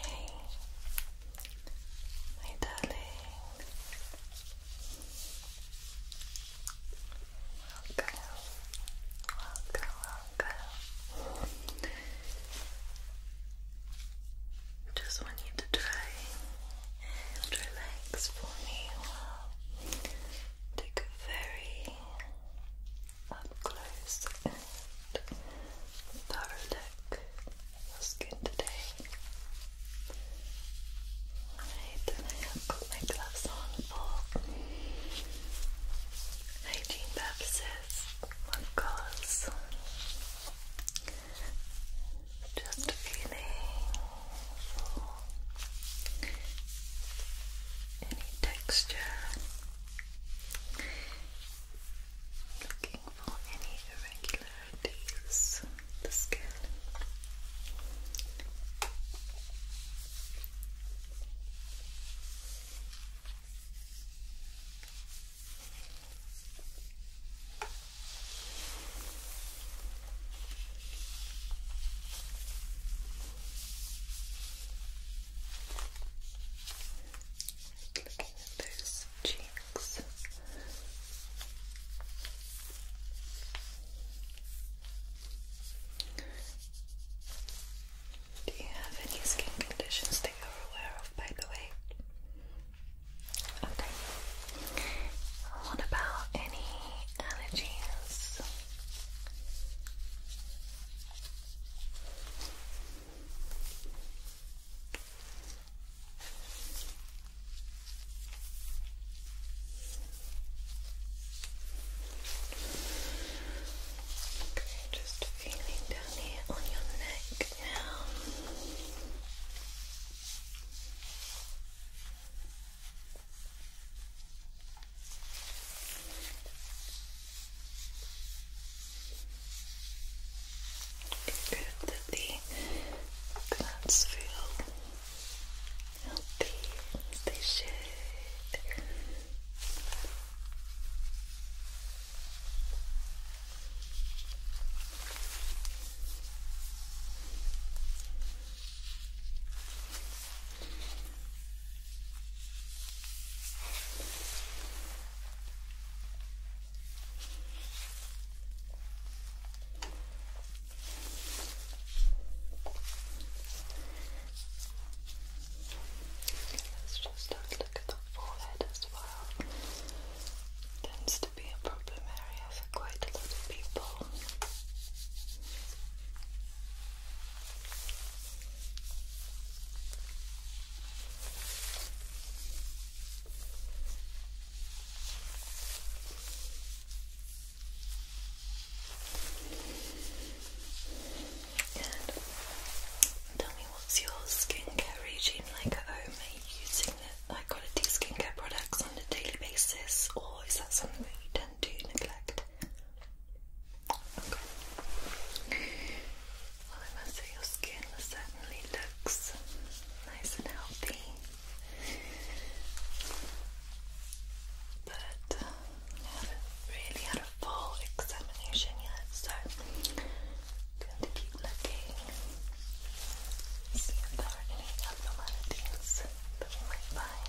Hey, my darling. Welcome, welcome, welcome. Just want you to try and relax for me while take a very up close thorough look at your skin today. Alright, then I have got my gloves on for hygiene purposes, of course. Just feeling for any texture. Looking for any irregularities of the skin. Looking at those cheeks. Do you have any skin conditions that you're aware of, by the way? Okay. What about any allergies? Okay, just feeling down here on your neck now. Good that the glass feel healthy as they Let's just look at the forehead as well. Tends to be a problem area for quite a lot of people. And tell me what's your skincare regime like at home? Are you using high quality skincare products on a daily basis or is that something that you tend to neglect? Well I must say your skin certainly looks nice and healthy. But uh, I haven't really had a full examination yet, so going to keep looking, see if there are any abnormalities that we might find.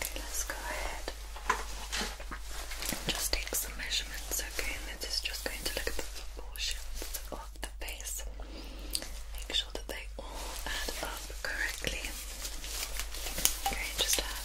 Okay, let's go ahead just take some measurements, okay? And this just going to look at the proportions of the face. Make sure that they all add up correctly. Okay, just have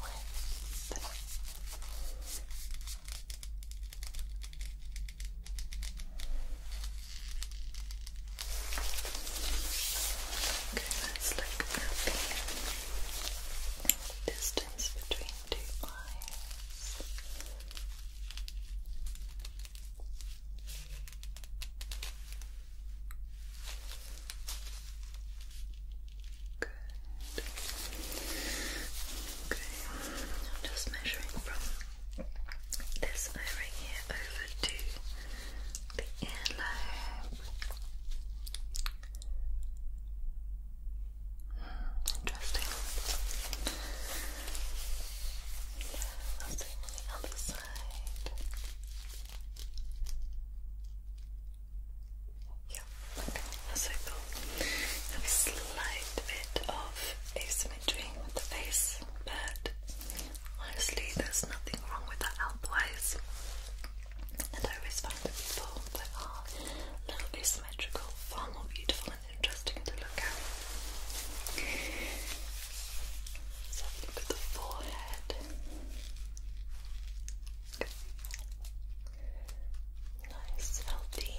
width. Okay, let's look at the distance between two eyes. Good. Okay. I'm just measuring from this over here over to the earlobe. interesting. I'll see the other side. Yeah, okay, a slight bit of asymmetry with the face, but honestly, there's nothing wrong with that outwise. And I always find people that are a little asymmetrical far more beautiful and interesting to look at. let look at the forehead. Good. Nice, healthy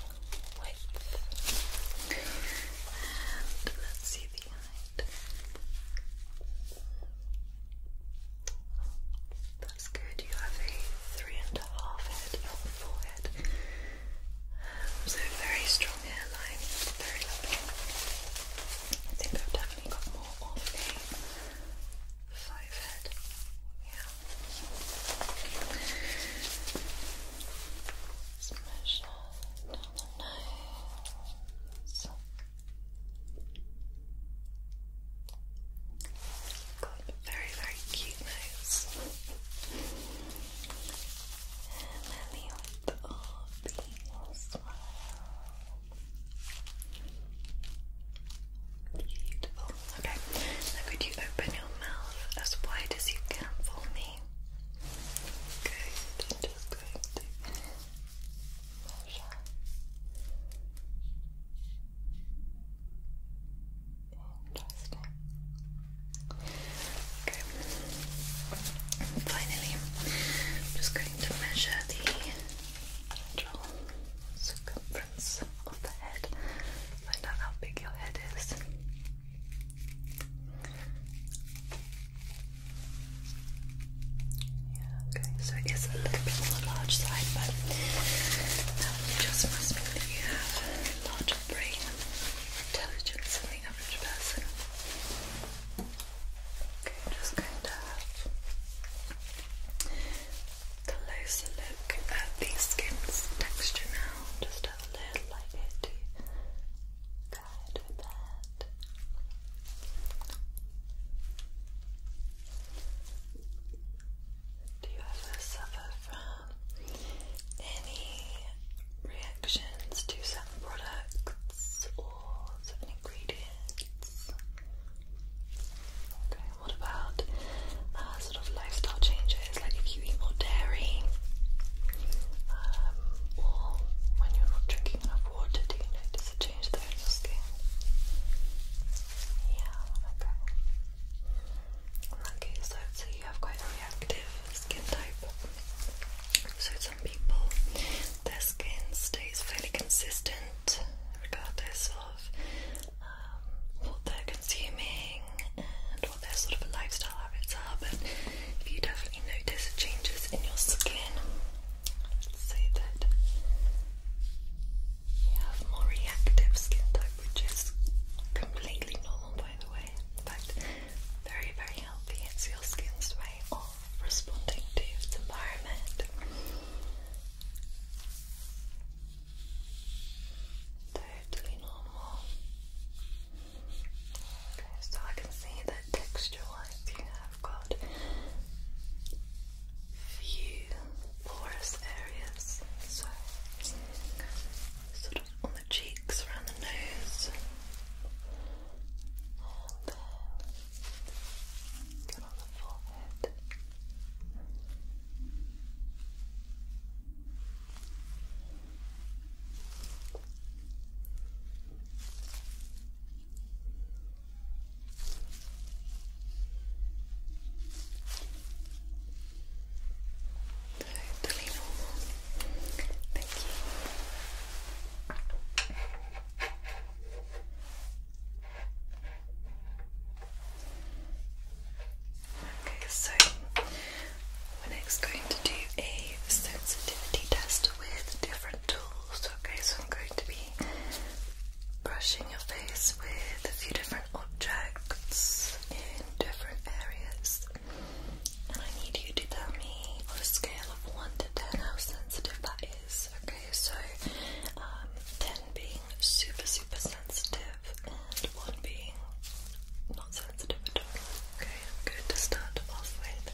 width. And let's see the height. That's good. You have a three and a half head on forehead. so very strong hairline, very lovely. I think I've definitely got more of a five head. Yeah. Let's down the nose. Got very, very cute nose. And the other smile. Beautiful. Okay. Now could you open your mouth as wide as you can for me? Good. just going to measure interesting okay finally just going to measure the circumference of the head. Find out how big your head is. Yeah, okay, so it is a little bit on the large side, but that just must mean that you have a larger brain intelligence than the average person just going to have a closer look at the skin's texture now. Just have a little light bit to guide with that. Do you ever suffer from any reactions to certain products of what about uh, sort of lifestyle changes, like if you eat more dairy, um, or when you're not drinking enough water, do you notice a change there in your skin? Yeah, okay. In that case, so, you have quite a reactive skin type. So some people their skin stays fairly consistent regardless of um, what they're consuming and what their sort of lifestyle habits are. But if you definitely notice changes in your skin, say that you have more reactive skin type, which is completely normal by the way. In fact, very, very healthy. It's your skin's way on responding to the environment. Totally normal. Okay, so I can see that texture-wise you have got few porous areas. So sort of on the cheeks, around the nose. And then get on the forehead. Totally normal. Thank you. Okay, so we're next going to do a sensitivity test with different tools. Okay, so I'm going to be brushing your face with a few different objects in different areas and I need you to tell me on a scale of 1 to 10 how sensitive that is. Okay, so um, 10 being super, super sensitive, and 1 being not sensitive at all. Okay, I'm going to start off with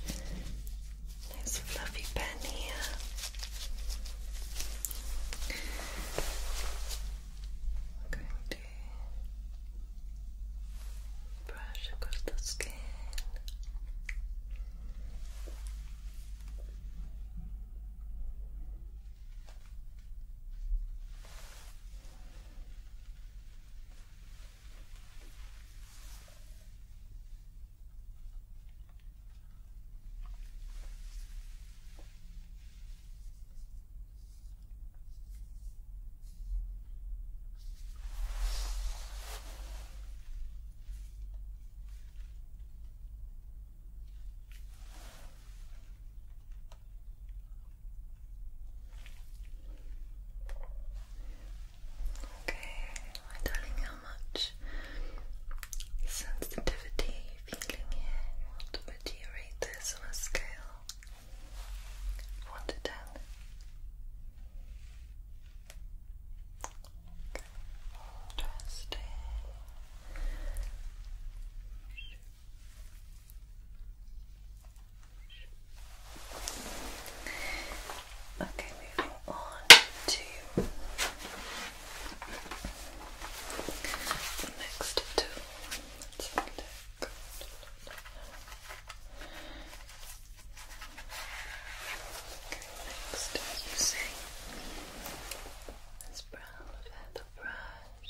nice fluffy pen here. i Brush across the skin. Okay, darling, how much sensitivity you feeling here? What would you rate this on a scale? 1 to 10. Interesting. Okay, moving on to the next tool. Let's look next is using this brown feather brush.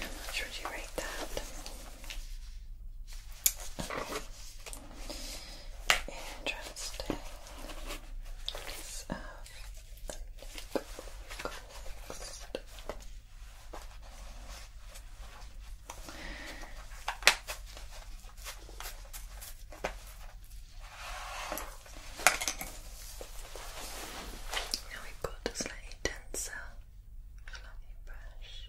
How much would you rate that? Interesting. Now we got a slightly denser, fluffy brush.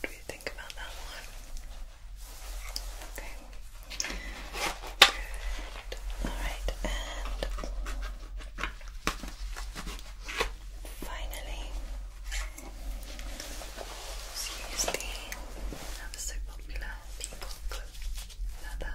What do you think about that one? Okay. Good. All right, and Finally, seriously, that was so popular. People put leather.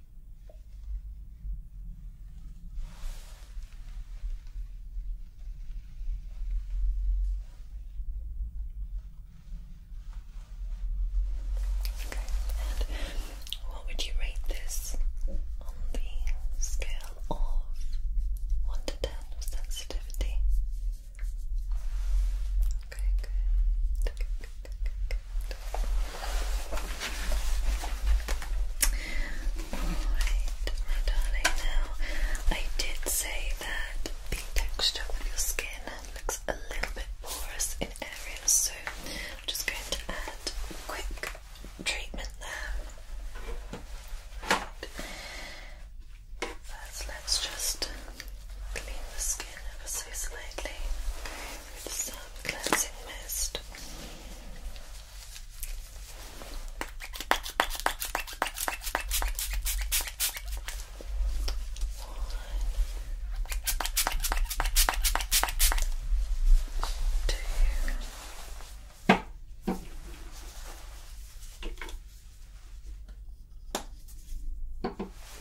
Okay, and what would you rate this on the scale of 1 to 10 sensitivity? Okay, Good, good, good, good, good. Alright, darling, now I did say that the texture of your skin looks a little bit porous in areas, so I'm just going to add quick treatment there. First, let's just clean the skin ever so slightly with some cleansing mist. One, two.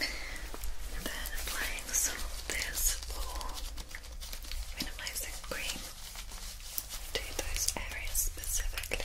And then applying some of this blue minimizing cream to those areas specifically.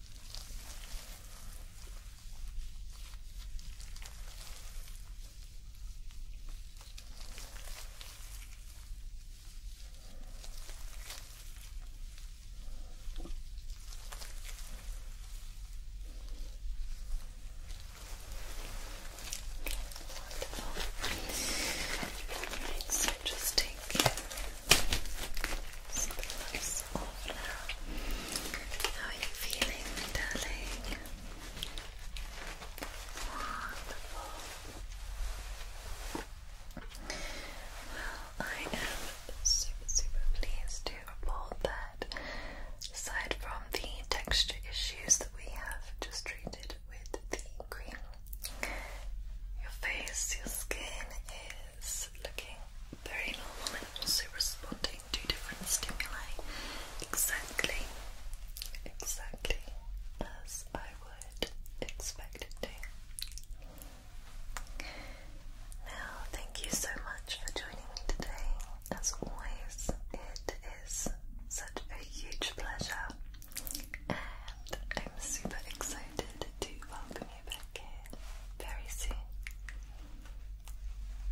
Wonderful. Right, so just take how are you feeling, darling? Wonderful. Well, I am super, super pleased to report that, aside from the texture issues that we have just treated with the cream, your face, your skin is looking very normal and also responding to different stimuli exactly, exactly as I would expect it to. Now, thank you so much for joining me today. As always, it is such a huge pleasure, and I'm super excited excited to welcome you back here very soon.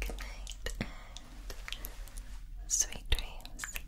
Good night and sweet dreams.